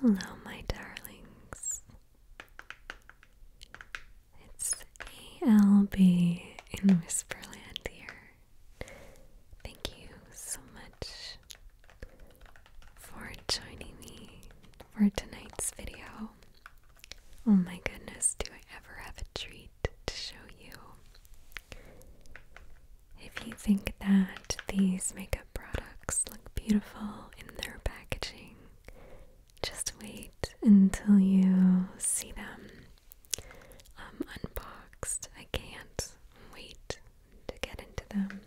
Hello, my darlings. It's ALB in Whisperland here. Thank you so much for joining me for tonight's video. Oh my goodness, do I ever have a treat to show you? If you think that these makeup products look beautiful in their packaging. Just wait until you see them um, unboxed. I can't wait to get into them.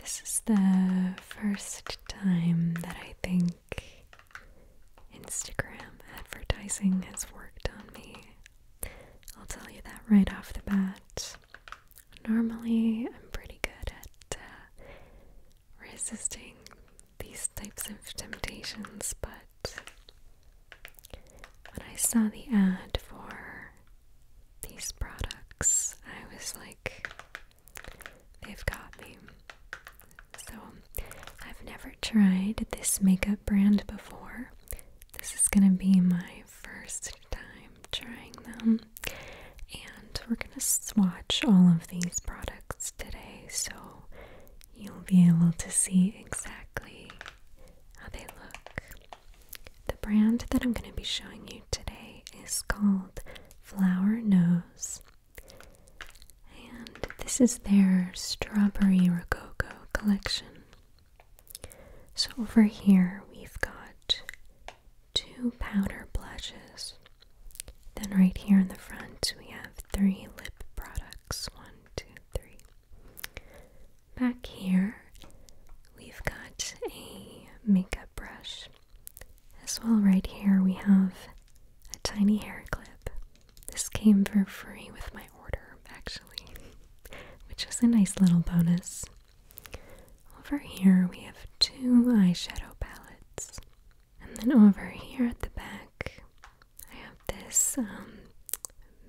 This is the first time that I think Instagram advertising has worked on me. I'll tell you that right off the bat. Normally, I'm pretty good at uh, resisting these types of temptations, but when I saw the ad for these products, I was like, they've got me. So, I've never tried this makeup brand before. This is gonna be my first time trying them. And we're going to swatch all of these products today so you'll be able to see exactly how they look. The brand that I'm going to be showing you today is called Flower Nose. And this is their Strawberry Rococo collection. So over here we've got two powder blushes. Then right here in the front we have three lip products. One, two, three. Back here we've got a makeup brush. As well right here we have a tiny hair clip. This came for free with my order actually, which is a nice little bonus. Over here we have two eyeshadow palettes. And then over here at the back, I have this um,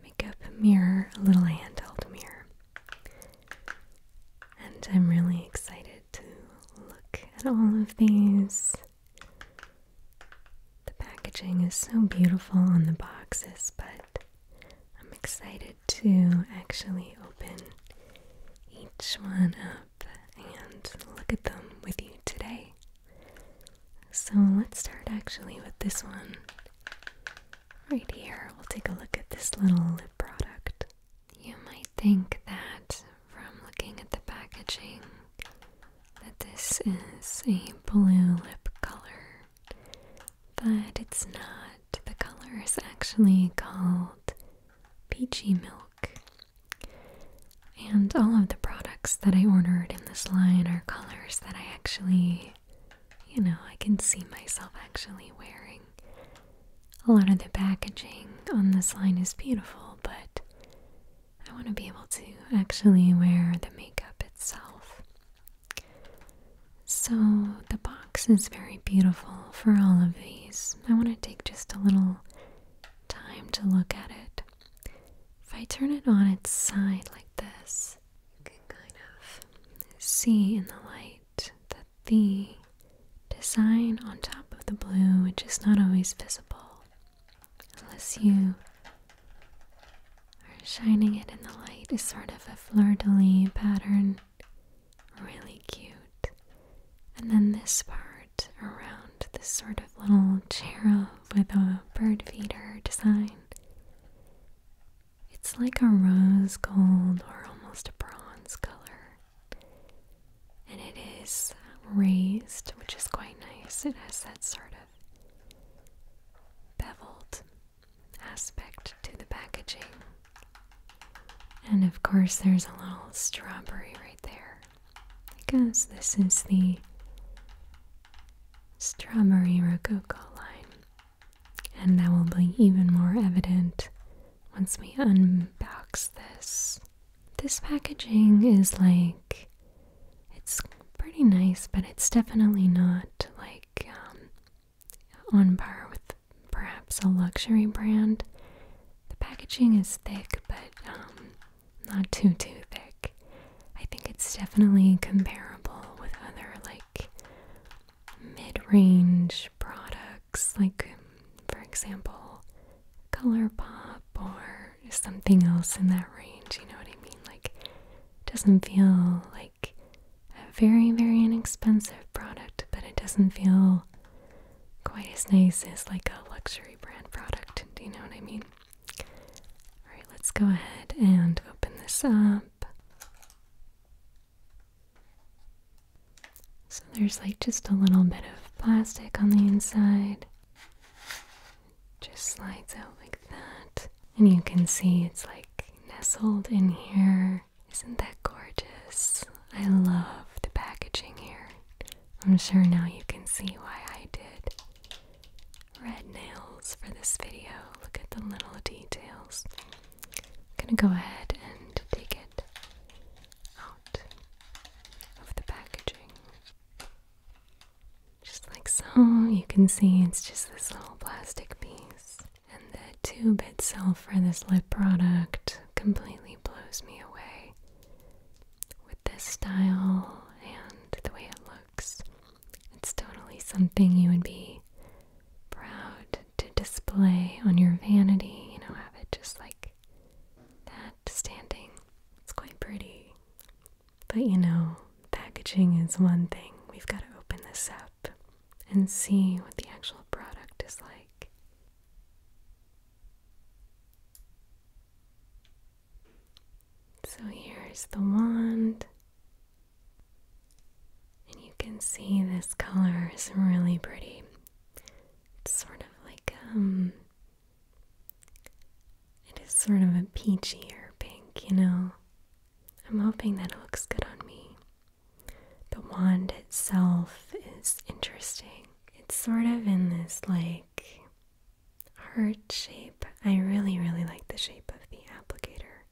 makeup mirror, a little handheld mirror. And I'm really excited to look at all of these. The packaging is so beautiful on the boxes, but I'm excited to actually open each one up and look at them with you today. So let's start actually with this one. Right here, we'll take a look at this little lip product. You might think that from looking at the packaging that this is a blue lip color but it's not. The color is actually called peachy milk. And all of the products that I ordered in this line are colors that I actually, you know, I can see myself actually wearing. A lot of the packaging on this line is beautiful, but I want to be able to actually wear the makeup itself. So, the box is very beautiful for all of these. I want to take just a little time to look at it. If I turn it on its side like this, you can kind of see in the light that the design on top of the blue, which is not always visible unless you are shining it in the light, is sort of a fleur de lis pattern. Really cute. And then this part around this sort of little chair with a bird feeder design. It's like a rose gold or almost a bronze color. And it is raised, which is quite nice. It has that sort of beveled aspect to the packaging. And of course, there's a little strawberry right there because this is the strawberry rococo line. And that will be even more evident once we unbox this. This packaging is like, it's pretty nice, but it's definitely not like um, on par with perhaps a luxury brand. The packaging is thick, but um, not too too thick. I think it's definitely comparable with other like mid-range products, like for example, ColourPop or something else in that range. You know what I mean? Like, it doesn't feel like a very, very inexpensive product, but it doesn't feel quite as nice as like a luxury brand product. Do you know what I mean? Alright, let's go ahead and open this up. So there's like just a little bit of plastic on the inside. just slides out like that. And you can see it's like nestled in here. Isn't that gorgeous? I love the packaging here. I'm sure now you can see why I did red nails for this video. Look at the little details. I'm gonna go ahead and take it out of the packaging. Just like so, you can see it's just this little plastic piece. And the tube itself for this lip product completely blows me away. With this style and the way it looks, it's totally something you would be proud to display on your vanity, you know, have it just like that standing. It's quite pretty. But you know, packaging is one thing. We've got to open this up and see what the actual product is like. So here's the wand. And you can see this color is really pretty. It's sort of like, um, it is sort of a peachy or pink, you know. I'm hoping that it looks good on me. The wand itself is interesting. It's sort of in this like heart shape. I really, really like the shape of the applicator.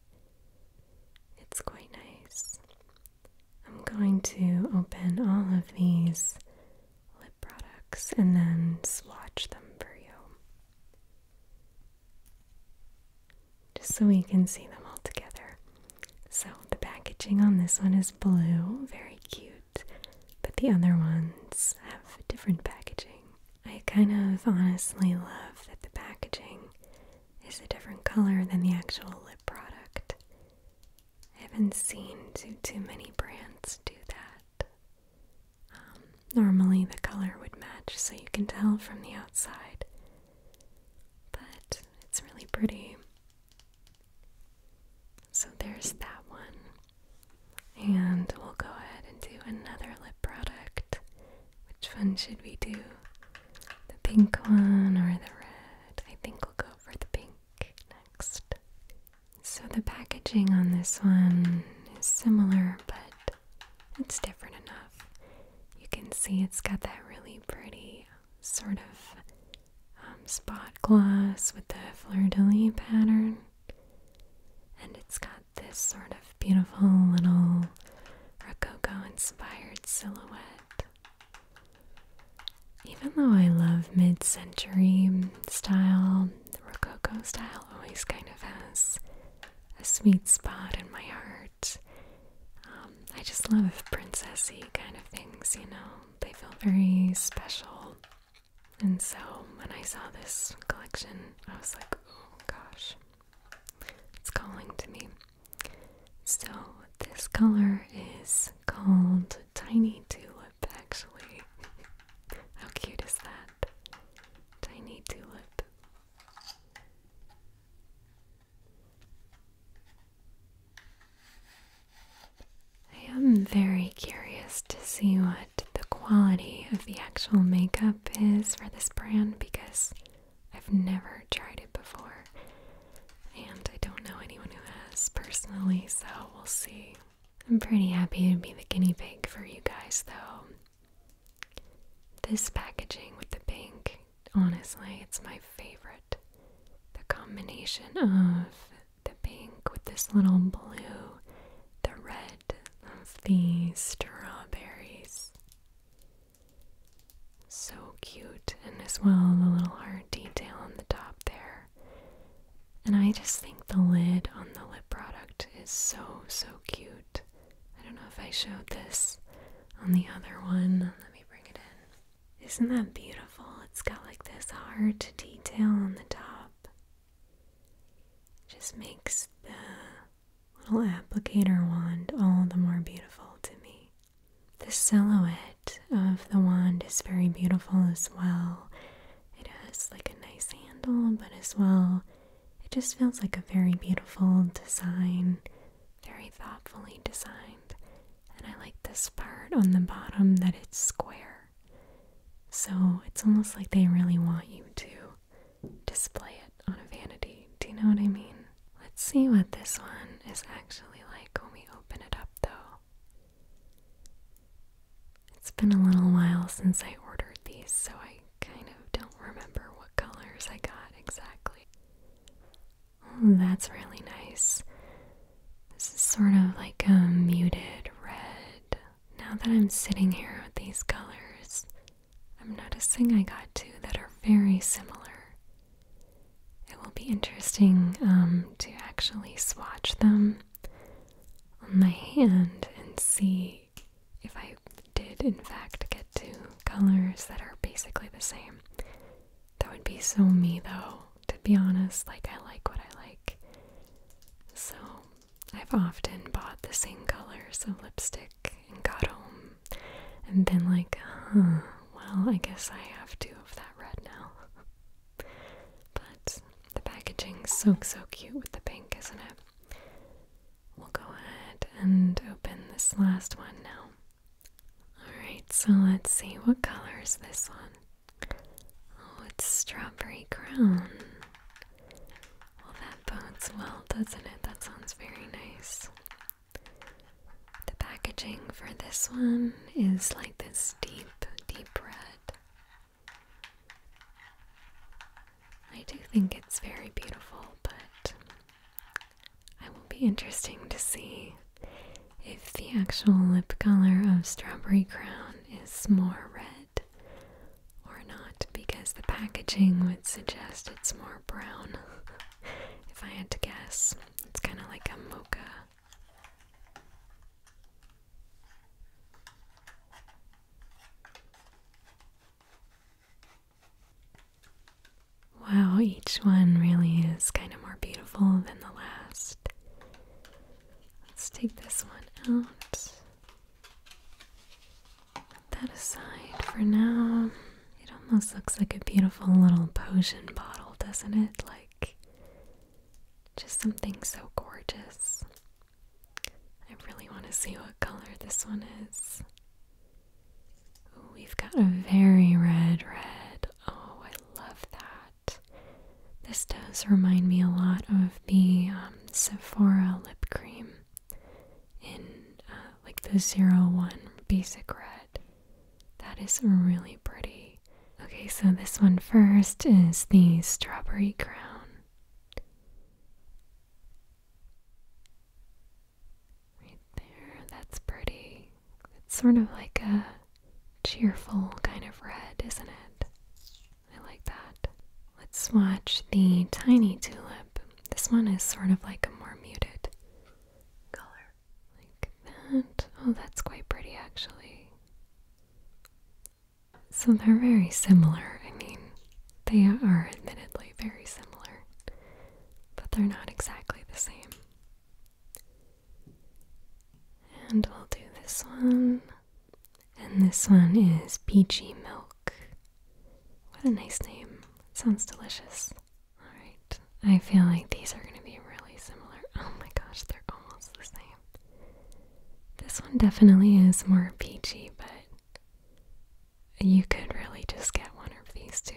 It's quite nice. I'm going to open all of these lip products and then swatch them for you just so we can see them all together. So the packaging on this one is blue, very cute, but the other ones have different packaging. I kind of honestly love that the packaging is a different color than the actual lip product. I haven't seen too, too many brands do that. Um, normally the color would match so you can tell from the outside but it's really pretty. So there's that one. And we'll go ahead and do another lip product. Which one should we do? The pink one or the red? I think we'll go for the pink next. So the packaging on this one is similar, but it's different enough. You can see it's got that really pretty sort of um, spot gloss with the fleur de lis pattern. And it's got this sort of beautiful little Rococo inspired silhouette. Even though I love mid century style, Rococo style always kind of has a sweet spot in my heart. Um, I just love princessy kind of things, you know. They feel very special. And so when I saw this collection, I was like, oh gosh, it's calling to me. So this color is called Tiny Tulip, actually. How cute is that? Tiny Tulip. I am very curious to see what the quality of the actual makeup is for this brand because I've never tried it before and I don't know anyone who has personally, so we'll see. I'm pretty happy to be the guinea pig for you guys though. This packaging with the pink, honestly, it's my favorite. The combination of the pink with this little blue, the red of the strawberries. So cute, and as well the little heart detail on the top there. And I just think the lid on the lip product is so, so cute. I don't know if I showed this on the other one. Let me bring it in. Isn't that beautiful? It's got like this heart detail on the top. Just makes the little applicator wand all the more beautiful to me. The silhouette of the wand is very beautiful as well. It has like a nice handle, but as well, it just feels like a very beautiful design, very thoughtfully designed. And I like this part on the bottom that it's square. So it's almost like they really want you to display it on a vanity. Do you know what I mean? Let's see what this one is actually like when we open it up, though. It's been a little while since I ordered these, so I kind of don't remember what colors I got exactly. Oh, that's really nice. This is sort of like a muted red. Now that I'm sitting here with these colors, I'm noticing I got two that are very similar. It will be interesting um, to actually swatch them on my hand and see if I did in fact get two colors that are basically the same. That would be so me though, to be honest, like I like what I like. So I've often bought the same colors of lipstick and got home and then like, huh, well I guess I have two of that red now. but the packaging's so so cute with the pink, isn't it? We'll go ahead and open this last one now. Alright, so let's see what color is this one. Oh, it's strawberry crown. Well, that bodes well, doesn't it? That sounds very nice. The packaging for this one is like this deep, deep red. I do think it's very beautiful, but it will be interesting to see if the actual lip color of Strawberry Crown is more red or not, because the packaging would suggest it's more brown. if I had to guess, it's kind of like a mocha. Wow, each one really is kind of more beautiful than the last. Let's take this one out. Put that aside for now. It almost looks like a beautiful little potion bottle, doesn't it? Like just something so gorgeous. I really want to see what color this one is we've got a very red red. Oh, I love that. This does remind me a lot of the um, Sephora lip cream in uh, like the zero one basic red. That is really pretty. Okay, so this one first is the strawberry crown. Right there, that's pretty. It's sort of like a cheerful kind of red, isn't it? I like that. Let's watch the tiny tulip. This one is sort of like a more muted color. Like that. Oh, that's quite pretty actually. So they're very similar. I mean, they are admittedly very similar but they're not exactly the same. And i will do this one. And this one is Peachy Milk. What a nice name. sounds delicious. Alright, I feel like these are going to be really similar. Oh my gosh, they're almost the same. This one definitely is more peachy, but you could really just get one of these two.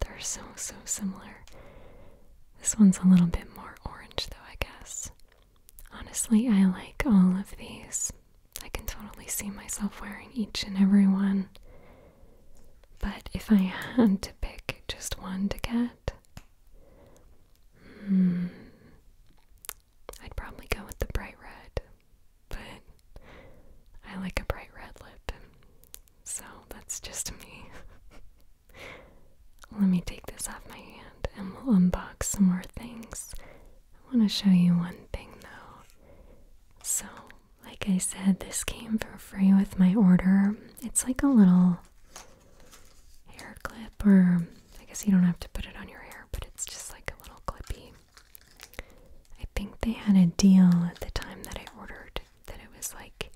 They're so, so similar. This one's a little bit more orange, though, I guess. Honestly, I like all of these. I can totally see myself wearing each and every one. But if I had to pick just one to get, hmm, I'd probably go with the bright red but I like a bright red lip, so that's just me. Let me take this off my hand and we'll unbox some more things. I want to show you one thing though. So, like I said, this came for free with my order. It's like a little hair clip, or I guess you don't have to put it on your hair, but it's just like a little clippy I think they had a deal at the time that I ordered that it was like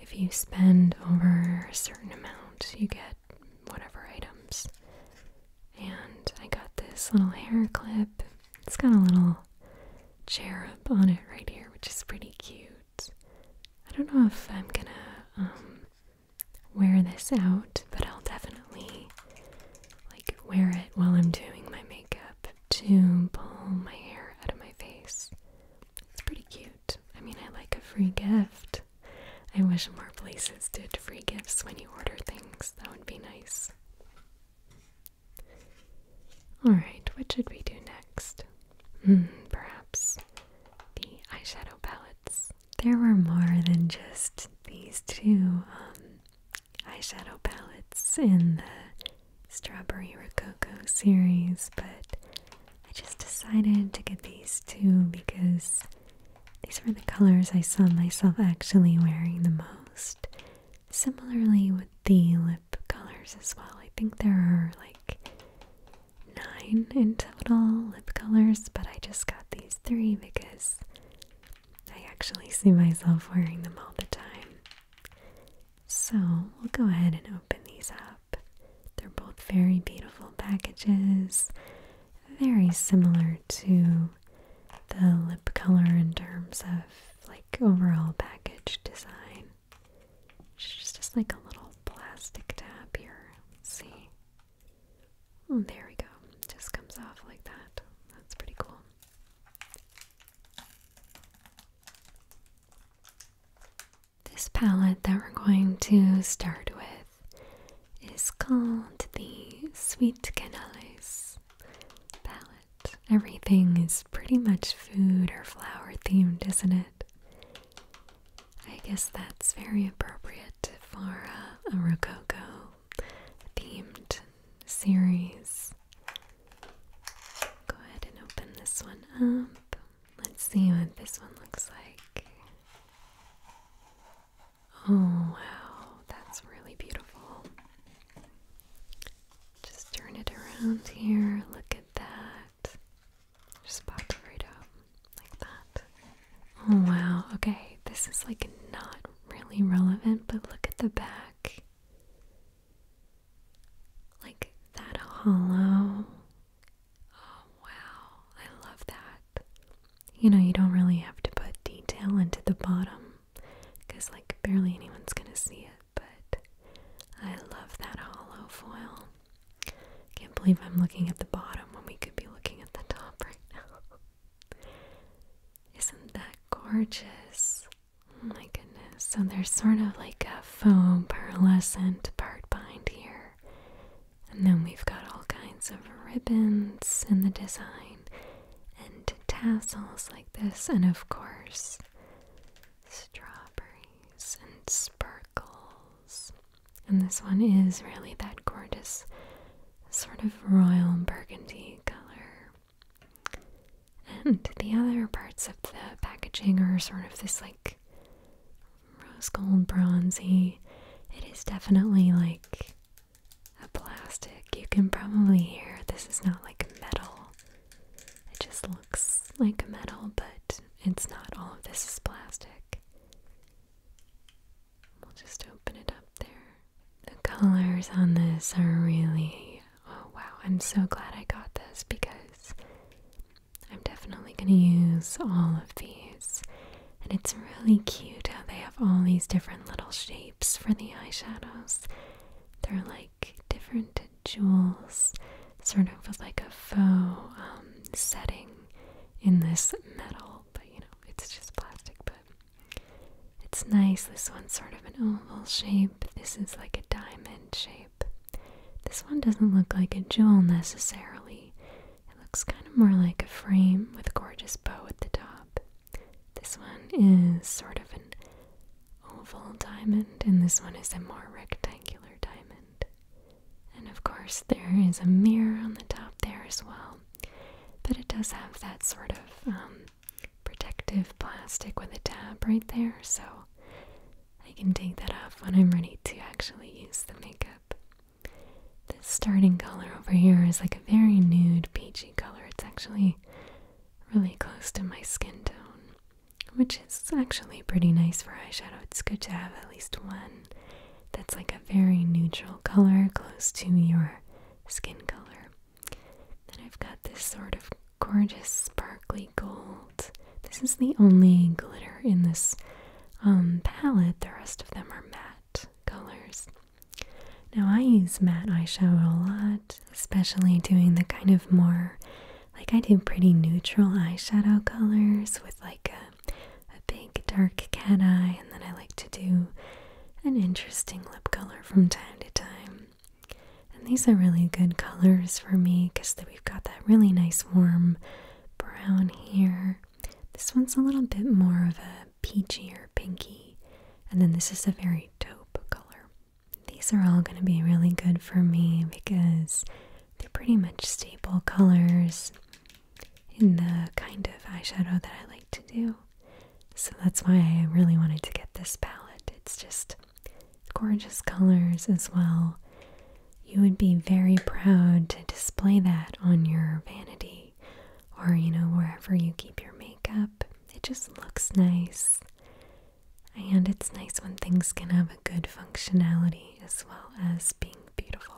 if you spend over a certain amount, you get whatever items. And I got this little hair clip. It's got a little cherub on it right here, which is pretty cute. I don't know if I'm gonna um, wear this out, but I'll definitely like wear it while I'm doing my makeup to pull my hair out of my face. It's pretty cute. I mean, I like a free gift. I wish more places did free gifts when you order things. That would be nice. Alright, what should we do next? Hmm, perhaps the eyeshadow palettes. There were more than just these two um, eyeshadow palettes in the Strawberry Rococo series, but I just decided to get these two because these were the colors I saw myself actually wearing the most. Similarly with the lip colors as well. I think there are like nine in total lip colors, but I just got these three because I actually see myself wearing them all the time. So we'll go ahead and open these up. They're both very beautiful packages, very similar to the lip color in terms of like overall package design. It's just like a little plastic tab here. see. Oh, there we go. Just comes off like that. That's pretty cool. This palette that we're going to start with is called the Sweet Canales palette. Everything is pretty much food or flower themed, isn't it? I guess that's very appropriate for uh, a Rococo themed series. Go ahead and open this one up. Let's see what this one looks like. Oh, wow, that's really beautiful. Just turn it around here. Look at that. Just pop right up like that. Oh, wow. Okay, this is like not really relevant, but look at the back like that hollow. Oh, wow, I love that. You know, you don't really have to put detail into the bottom because, like, barely anyone's gonna see it, but I love that hollow foil. Can't believe I'm looking at the bottom when we could be looking at the top right now. Isn't that gorgeous? Oh my goodness. So there's sort of like a foam pearlescent part behind here. And then we've got all kinds of ribbons in the design and tassels like this. And of course, strawberries and sparkles. And this one is really that gorgeous sort of royal burgundy color. And the other parts of the packaging are sort of this like rose gold bronzy. It is definitely like a plastic. You can probably hear this is not like metal. It just looks like metal, but it's not. All of this is plastic. We'll just open it up there. The colors on this are really. Oh wow, I'm so glad I got this because I'm definitely going to use all of these. And it's really cute how they have all these different little shapes for the eyeshadows. They're like different jewels, sort of with like a faux um, setting in this metal, but you know, it's just plastic, but it's nice. This one's sort of an oval shape. This is like a diamond shape. This one doesn't look like a jewel necessarily. It looks kind of more like a frame with a gorgeous bow at the top. This one is sort of an oval diamond, and this one is a more rectangular diamond. And of course, there is a mirror on the top there as well. But it does have that sort of um, protective plastic with a tab right there, so I can take that off when I'm ready to actually use the makeup. This starting color over here is like a very nude peachy color. It's actually really close to my skin tone, which is actually pretty nice for eyeshadow. It's good to have at least one that's like a very neutral color close to your skin color. Then I've got this sort of gorgeous sparkly gold. This is the only glitter in this um, palette. The rest of them are matte colors. Now I use matte eyeshadow a lot, especially doing the kind of more like I do pretty neutral eyeshadow colors with like a big dark cat eye, and then I like to do an interesting lip color from time to time. And these are really good colors for me because we've got that really nice warm brown here. This one's a little bit more of a peachy or pinky. And then this is a very taupe color. These are all going to be really good for me because they're pretty much staple colors in the kind of eyeshadow that I like to do. So that's why I really wanted to get this palette. It's just gorgeous colors as well. You would be very proud to display that on your vanity or, you know, wherever you keep your makeup. It just looks nice. And it's nice when things can have a good functionality as well as being beautiful.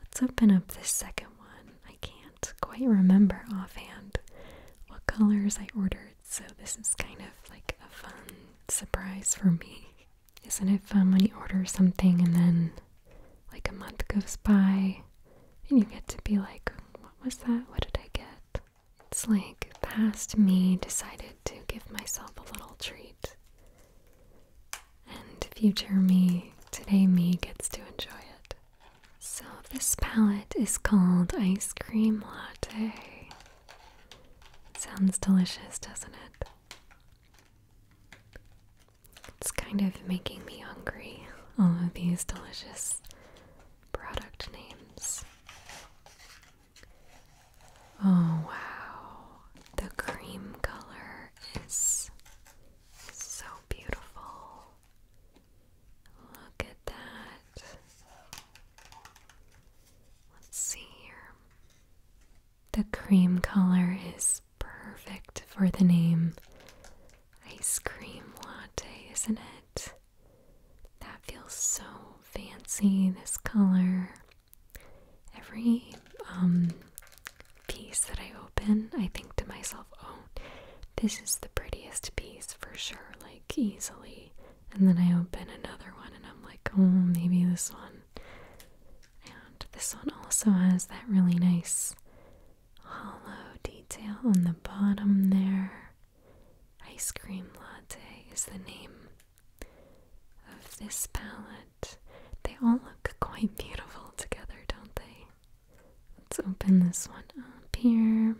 Let's open up this second one. I can't quite remember offhand what colors I ordered, so this is kind of like a fun surprise for me. Isn't it fun when you order something and then like a month goes by and you get to be like, what was that? What did I get? It's like past me decided to give myself a little treat. And future me, today me, gets to enjoy it. So, this palette is called Ice Cream Latte. Sounds delicious, doesn't it? It's kind of making me hungry, all of these delicious product names. Oh wow, the cream color is so beautiful. Look at that. Let's see here. The cream color is perfect for the name. Ice cream latte, isn't it? That feels so fancy, this color. Every um, piece that I open, I think to myself, oh, this is the prettiest piece for sure, like easily. And then I open another one and I'm like, oh, maybe this one. And this one also has that really nice hollow detail on the bottom there. Ice Cream Latte is the name of this palette. They all look quite beautiful together, don't they? Let's open this one up here.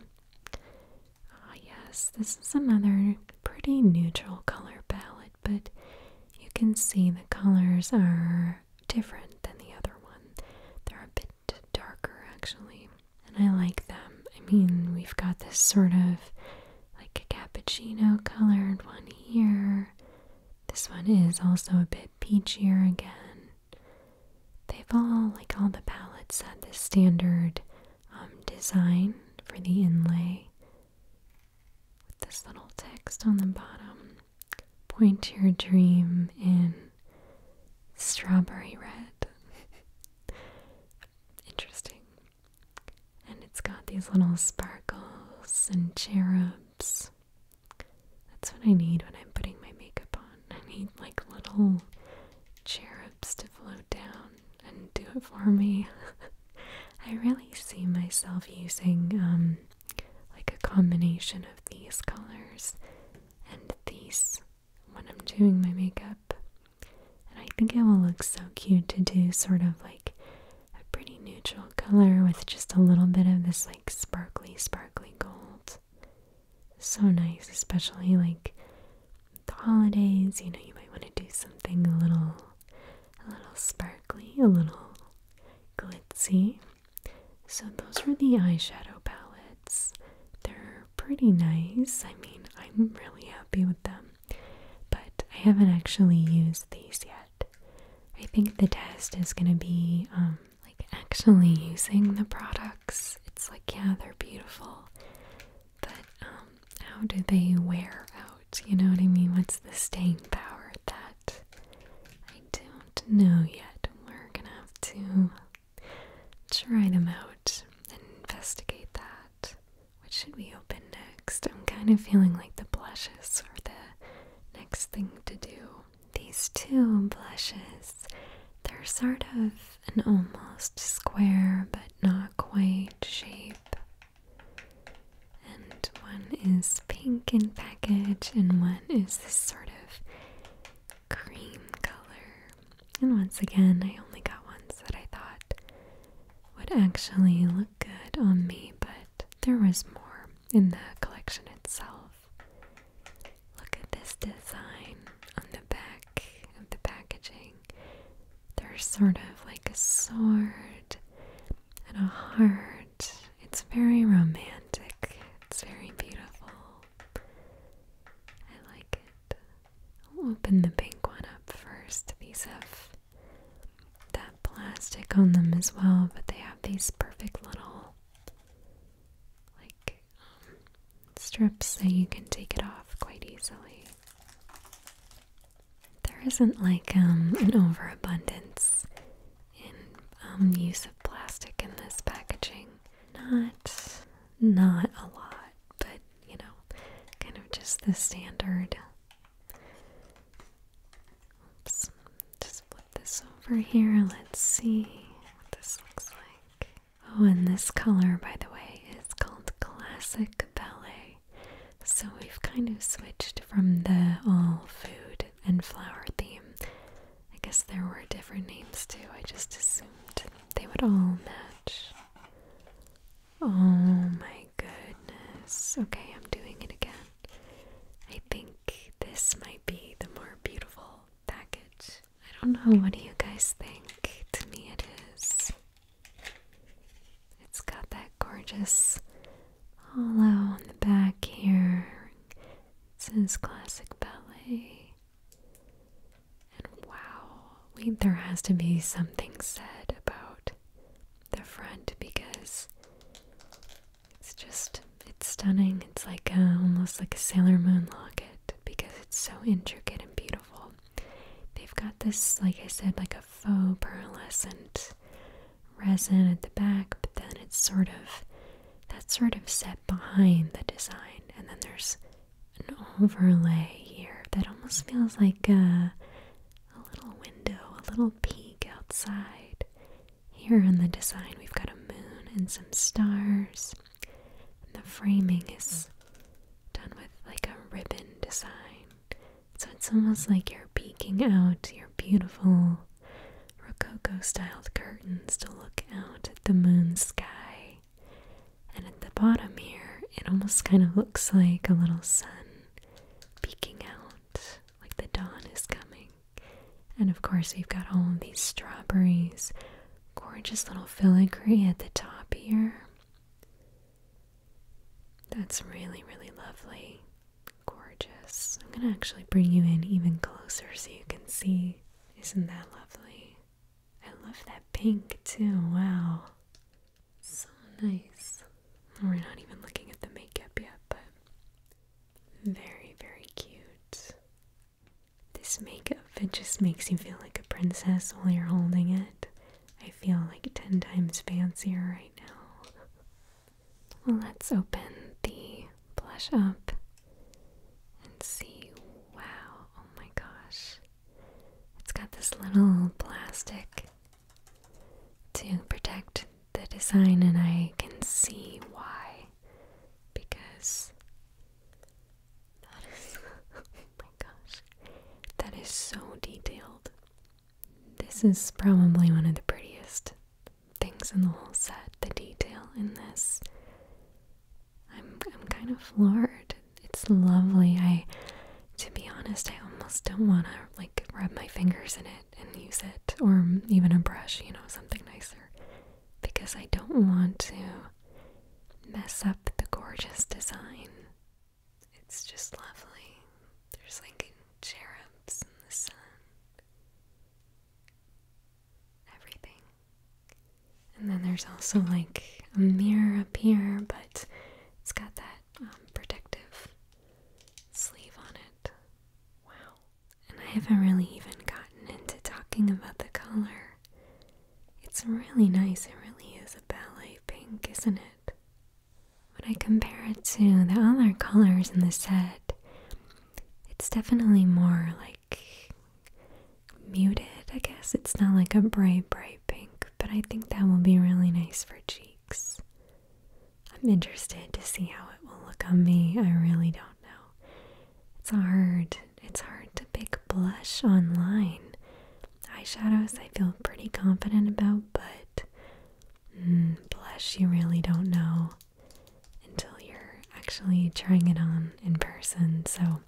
Ah, yes, this is another pretty neutral color palette, but you can see the colors are different than the other one. They're a bit darker, actually, and I like them. I mean, we've got this sort of like a cappuccino colored one here. This one is also a bit peachier again they've all, like all the palettes, had this standard um, design for the inlay with this little text on the bottom Point to your dream in strawberry red. Interesting. And it's got these little sparkles and cherubs that's what I need when I'm putting my makeup on. I need like little cherubs to float down and do it for me. I really see myself using um, like a combination of these colors and these when I'm doing my makeup. And I think it will look so cute to do sort of like a pretty neutral color with just a little bit of this like sparkly sparkly gold so nice, especially like the holidays. You know, you might want to do something a little, a little sparkly, a little glitzy. So those are the eyeshadow palettes. They're pretty nice. I mean, I'm really happy with them. But I haven't actually used these yet. I think the test is going to be um, like actually using the products, it's like, yeah, they're beautiful, but um, how do they wear out? You know what I mean? What's the stain power that? I don't know yet. We're gonna have to try them out and investigate that. What should we open next? I'm kind of feeling like the blushes are the next thing to do these two blushes, they're sort of an almost square but not quite shape. And one is pink in package, and one is this sort of cream color. And once again, I only got ones that I thought would actually look good on me, but there was more in the collection itself. Look at this design on the back of the packaging. There's sort of like a sword and a heart. It's very romantic, it's very beautiful. I like it. will open the pink one up first. These have that plastic on them as well, but they have these perfect little like strips so you can take it off quite easily. There isn't like um, an overabundance in um, use of plastic in this packaging. Not, not a lot, but you know, kind of just the standard. Oops, just this over here. Let's see what this looks like. Oh, and this color, by the way, is called Classic Ballet. So we've kind of switched from the all food and flower theme. I guess there were different names too. I just assumed they would all match. Oh my goodness. Okay, I'm doing it again. I think this might be the more beautiful package. I don't know, what do you guys think? To me, it is. It's got that gorgeous hollow on the back here. It says classic ballet. And wow, we, there has to be something said about the front because it's just, it's stunning. It's like almost like a Sailor Moon locket because it's so intricate and beautiful. They've got this, like I said, like a faux pearlescent resin at the back, but then it's sort of, that sort of set behind the design. And then there's an overlay here that almost feels like a little window, a little peek outside. Here on the design, we've got a moon and some stars. And the framing is done with like a ribbon design. So it's almost like you're peeking out your beautiful Rococo styled curtains to look out the moon sky. And at the bottom here, it almost kind of looks like a little sun peeking out, like the dawn is coming. And of course, we've got all of these strawberries, gorgeous little filigree at the top here. That's really, really lovely. Gorgeous. I'm going to actually bring you in even closer so you can see. Isn't that lovely? I love that pink too. Wow. So nice. We're not even looking at the makeup yet, but very, very cute. This makeup, it just makes you feel like a princess while you're holding it. I feel like 10 times fancier right now. let's open the blush up and see. Wow, oh my gosh. It's got this little plastic to protect the design, and I can see why because that is oh my gosh. That is so detailed. This is probably one of the prettiest things in the whole set. The detail in this. I'm I'm kind of floored. It's lovely. I to be honest, I almost don't want to like rub my fingers in it and use it or even a brush, you know, something nicer because I don't want to mess up the gorgeous design. It's just lovely. There's like cherubs in the sun. Everything. And then there's also like a mirror up here, but it's got that um, protective sleeve on it. Wow and I haven't really even gotten into talking about the color. It's really nice, it really is a ballet pink, isn't it? When I compare it to the other colors in the set, it's definitely more like muted, I guess. It's not like a bright, bright pink, but I think that will be really nice for cheeks. I'm interested to see how it will look on me. I really don't know. It's hard. It's hard to pick blush online. Eyeshadows I feel pretty confident about, but mm, blush you really don't know until you're actually trying it on in person. So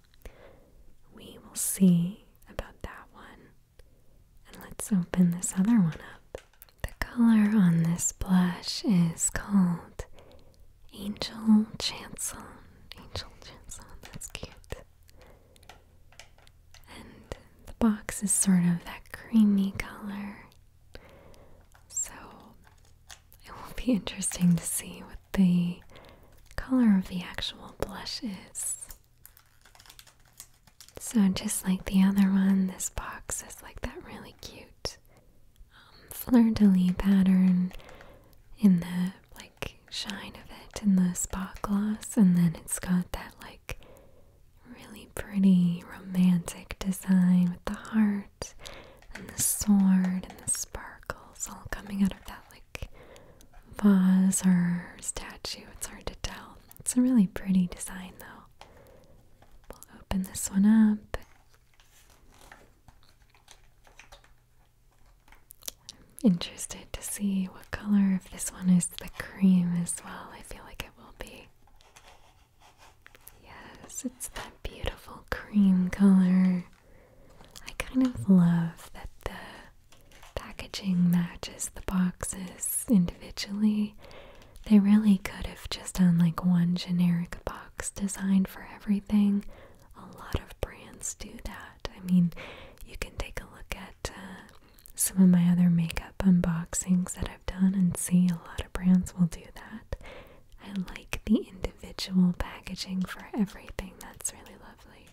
we will see about that one. And let's open this other one up. The color on this blush is called Angel Chancel. Angel Chancel, that's cute. And the box is sort of that creamy color. So it will be interesting to see what the color of the actual blush is. So, just like the other one, this box is like that really cute um, fleur-de-lis pattern in the like shine of it in the spot gloss and then it's got that like really pretty romantic design with the heart and the sword and the sparkles all coming out of that like vase or statue it's hard to tell it's a really pretty design though we'll open this one up interested to see what color if this one is the cream as well. I feel like it will be. Yes, it's that beautiful cream color. I kind of love that the packaging matches the boxes individually. They really could have just done like one generic box box design for everything. A lot of brands do that. I mean, you can take a look at uh, some of my other makeup unboxings that I've done and see a lot of brands will do that. I like the individual packaging for everything, that's really lovely.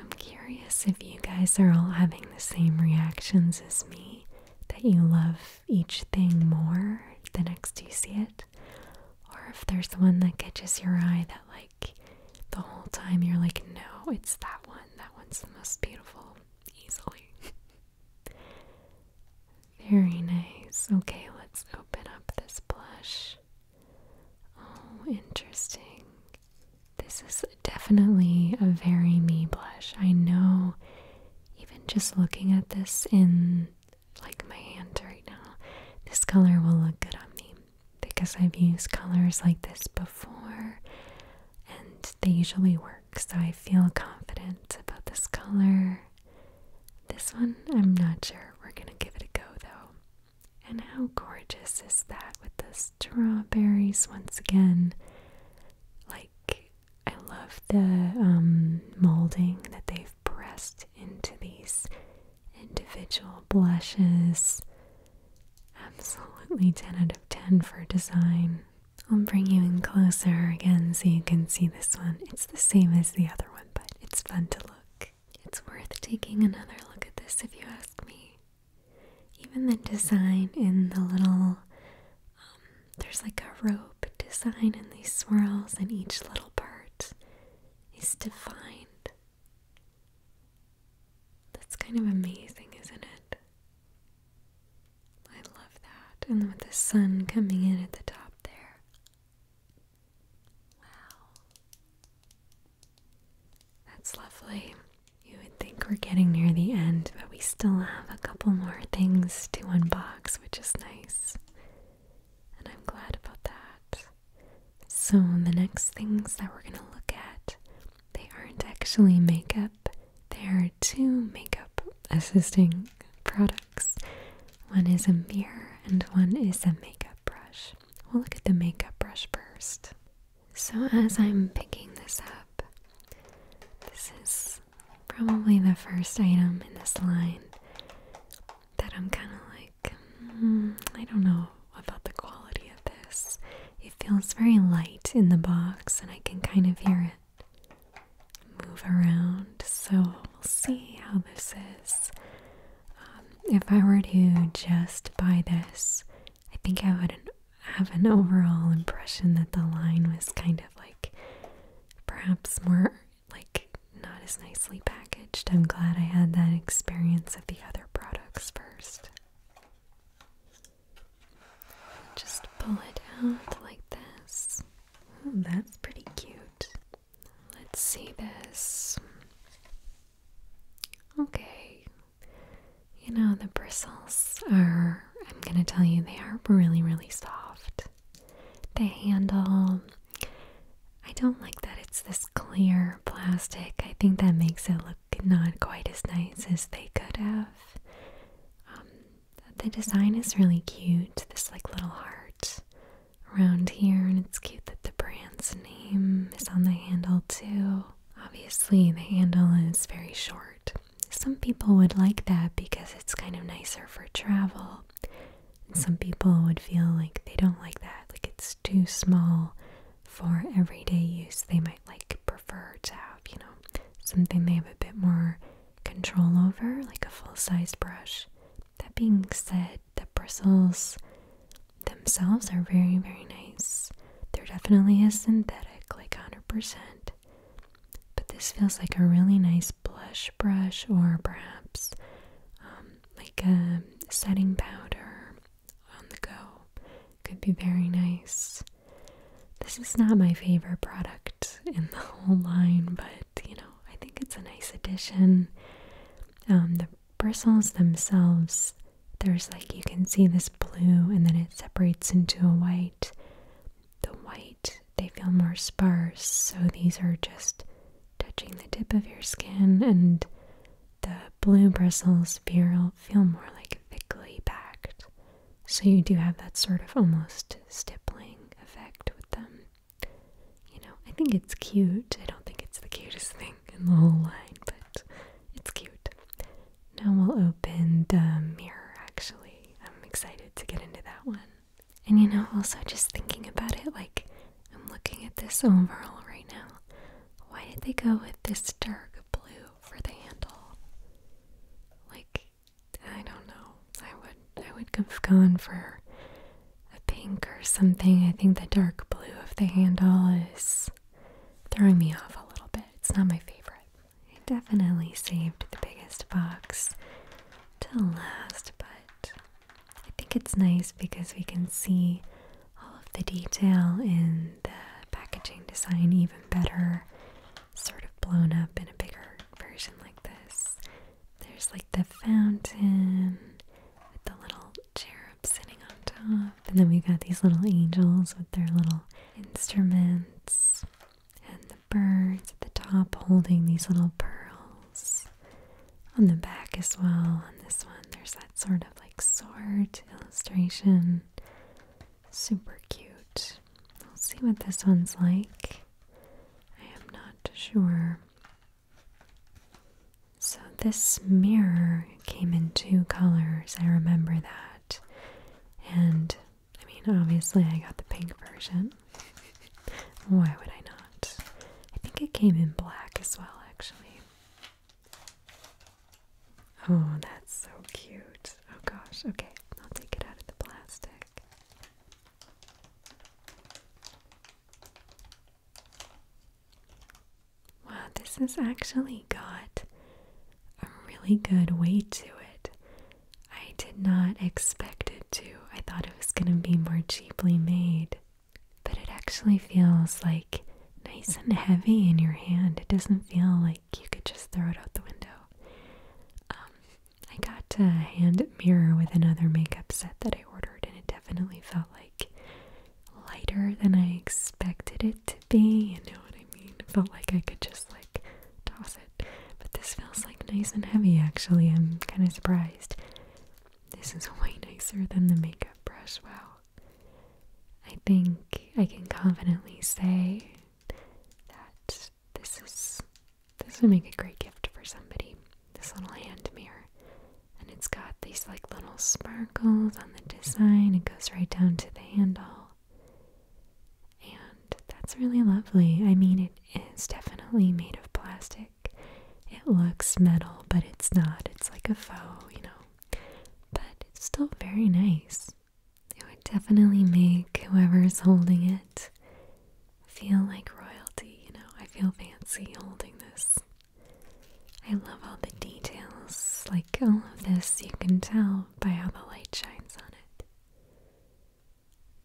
I'm curious if you guys are all having the same reactions as me that you love each thing more the next you see it, or if there's the one that catches your eye that, like, the whole time you're like, no, it's that one. That one's the most beautiful, easily. Very nice. Okay, let's open up this blush. Oh, interesting. This is definitely a very me blush. I know even just looking at this in like my hand right now, this color will look good on me because I've used colors like this before and they usually work. So I feel confident about this color. This one, I'm not sure. We're gonna give it a go though. And how gorgeous is that with the strawberries once again? Like, I love the um, molding that they've pressed into these individual blushes. Absolutely 10 out of 10 for design. I'll bring you in closer again so you can see this one. It's the same as the other one, but it's fun to look. It's worth taking another look at this if you ask me. Even the design in the little um, there's like a rope design in these swirls, and each little part is defined. That's kind of amazing, isn't it? I love that. And with the sun coming in at the top there. Wow. That's lovely. You would think we're getting near the end, but we still have a couple more things to unbox which is nice. And I'm glad about that. So, the next things that we're going to look at, they aren't actually makeup. They are two makeup assisting products. One is a mirror and one is a makeup brush. We'll look at the makeup brush first. So, as I'm picking this up, this is probably the first item in this line that I'm kind of like, hmm, I don't know about the quality of this. It feels very light in the box, and I can kind of hear it move around. So we'll see how this is. Um, if I were to just buy this, I think I would have an overall impression that the line was kind of like perhaps more like not as nicely packaged. I'm glad I had that experience of the other products first. Just pull it out like this. Oh, that's pretty cute. Let's see this. Okay. You know, the bristles are, I'm going to tell you, they are really, really soft. The handle. I don't like that it's this clear plastic. I think that makes it look not quite as nice as they could have. Um, the design is really cute. This like little heart around here, and it's cute that the brand's name is on the handle too. Obviously, the handle is very short some people would like that because it's kind of nicer for travel. some people would feel like they don't like that, like it's too small for everyday use. They might like prefer to have, you know, something they have a bit more control over, like a full-sized brush. That being said, the bristles themselves are very, very nice. They're definitely a synthetic, like 100%. But this feels like a really nice blush brush, or perhaps um, like a setting powder on the go. Could be very nice. This is not my favorite product in the whole line, but you know, I think it's a nice addition. Um, the bristles themselves, there's like you can see this blue and then it separates into a white. The white they feel more sparse. So these are just touching the tip of your skin, and the blue bristles feel, feel more like thickly packed. So you do have that sort of almost stippling effect with them. You know, I think it's cute. I don't think it's the cutest thing in the whole line, but it's cute. Now we'll open the mirror actually. I'm excited to get into that one and you know, also just thinking about it, like I'm looking at this overall right now. Why did they go with this dark blue for the handle? Like, I don't know. I would I would have gone for a pink or something. I think the dark blue of the handle is throwing me off a little bit. It's not my favorite. I definitely saved the biggest box to last, but I think it's nice because we can see all of the detail in the packaging design even better, sort of blown up in a bigger version like this. There's like the fountain with the little cherubs sitting on top, and then we've got these little angels with their little instruments, birds at the top holding these little pearls. On the back as well, on this one, there's that sort of like sword illustration. Super cute. We'll see what this one's like. I am not sure. So, this mirror came in two colors, I remember that. And I mean, obviously, I got the pink version. Why would I not? I think it came in black as well, actually. Oh, that's so cute. Oh gosh, okay, I'll take it out of the plastic. Wow, this has actually got a really good weight to it. I did not expect it to. I thought it was going to be more cheaply made. But it actually feels like nice and heavy in your hand. It doesn't feel like you could just throw it out the window. Um, I got a hand mirror with another makeup set that I ordered, and it definitely felt like lighter than I expected it to be. You know what I mean? It felt like I could just like toss it but this feels like nice and heavy actually. I'm kind of surprised. This is way nicer than the makeup brush. Wow. I think I can confidently say that this is this would make a great gift for somebody. This little hand mirror. And it's got these like little sparkles on the design. It goes right down to the handle. And that's really lovely. I mean, it is definitely made of plastic. It looks metal, but it's not. It's like a faux, you know. But it's still very nice. It would definitely make whoever's holding it feel like royalty, you know. I feel fancy holding this. I love all the details. Like all of this, you can tell by how the light shines on it.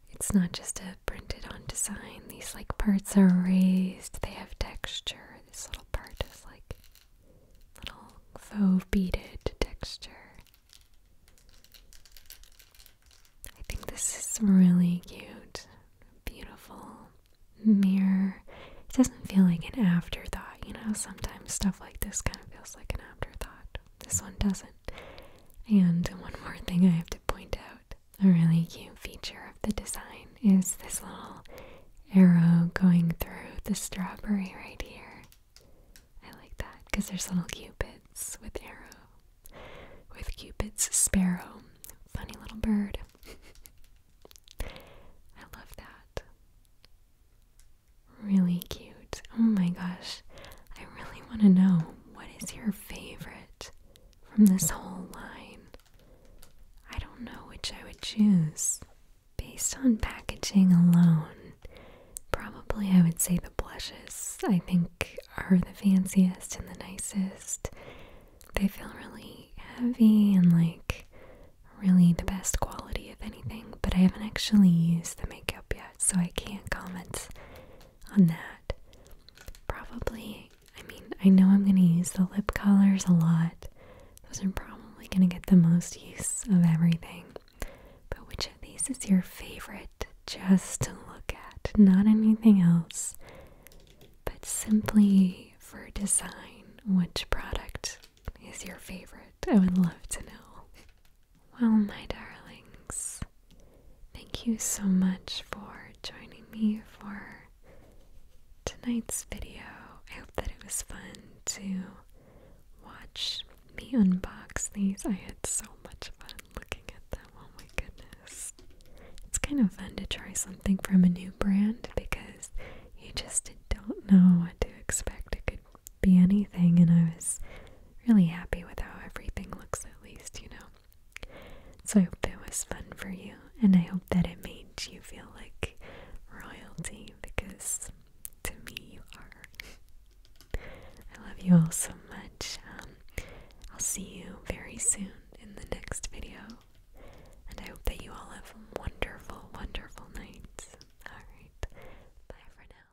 It's not just a printed on design. These like parts are raised. They have texture. This little part is like little faux beaded texture. I think this is really cute. Beautiful mirror. It doesn't feel like an afterthought, you know? Sometimes stuff like this kind of feels like an afterthought. This one doesn't. And one more thing I have to point out a really cute feature of the design is this little arrow going through the strawberry right here. I like that because there's little cupids with arrow, with cupid's sparrow. Funny little bird. I love that. Really cute. Oh my gosh. I really want to know what is your favorite from this whole line. I don't know which I would choose. Based on packaging alone, probably I would say the blushes, I think, are the fanciest and the nicest. They feel really heavy and like really the best quality, of anything, but I haven't actually used the makeup yet, so I can't comment on that. Probably, I mean, I know I'm going to use the lip colors a lot. Those are probably going to get the most use of everything. But which of these is your favorite just to look at? Not anything else, but simply for design. Which product is your favorite? I would love to know. Well, my darlings, thank you so much for joining me for tonight's video. I hope that it was fun to watch me unbox these. I had so much fun looking at them. Oh my goodness. It's kind of fun to try something from a new brand because you just don't know what to expect be anything, and I was really happy with how everything looks, at least, you know. So I hope that was fun for you, and I hope that it made you feel like royalty because to me, you are. I love you all so much. Um, I'll see you very soon in the next video, and I hope that you all have wonderful, wonderful nights. Alright, bye for now.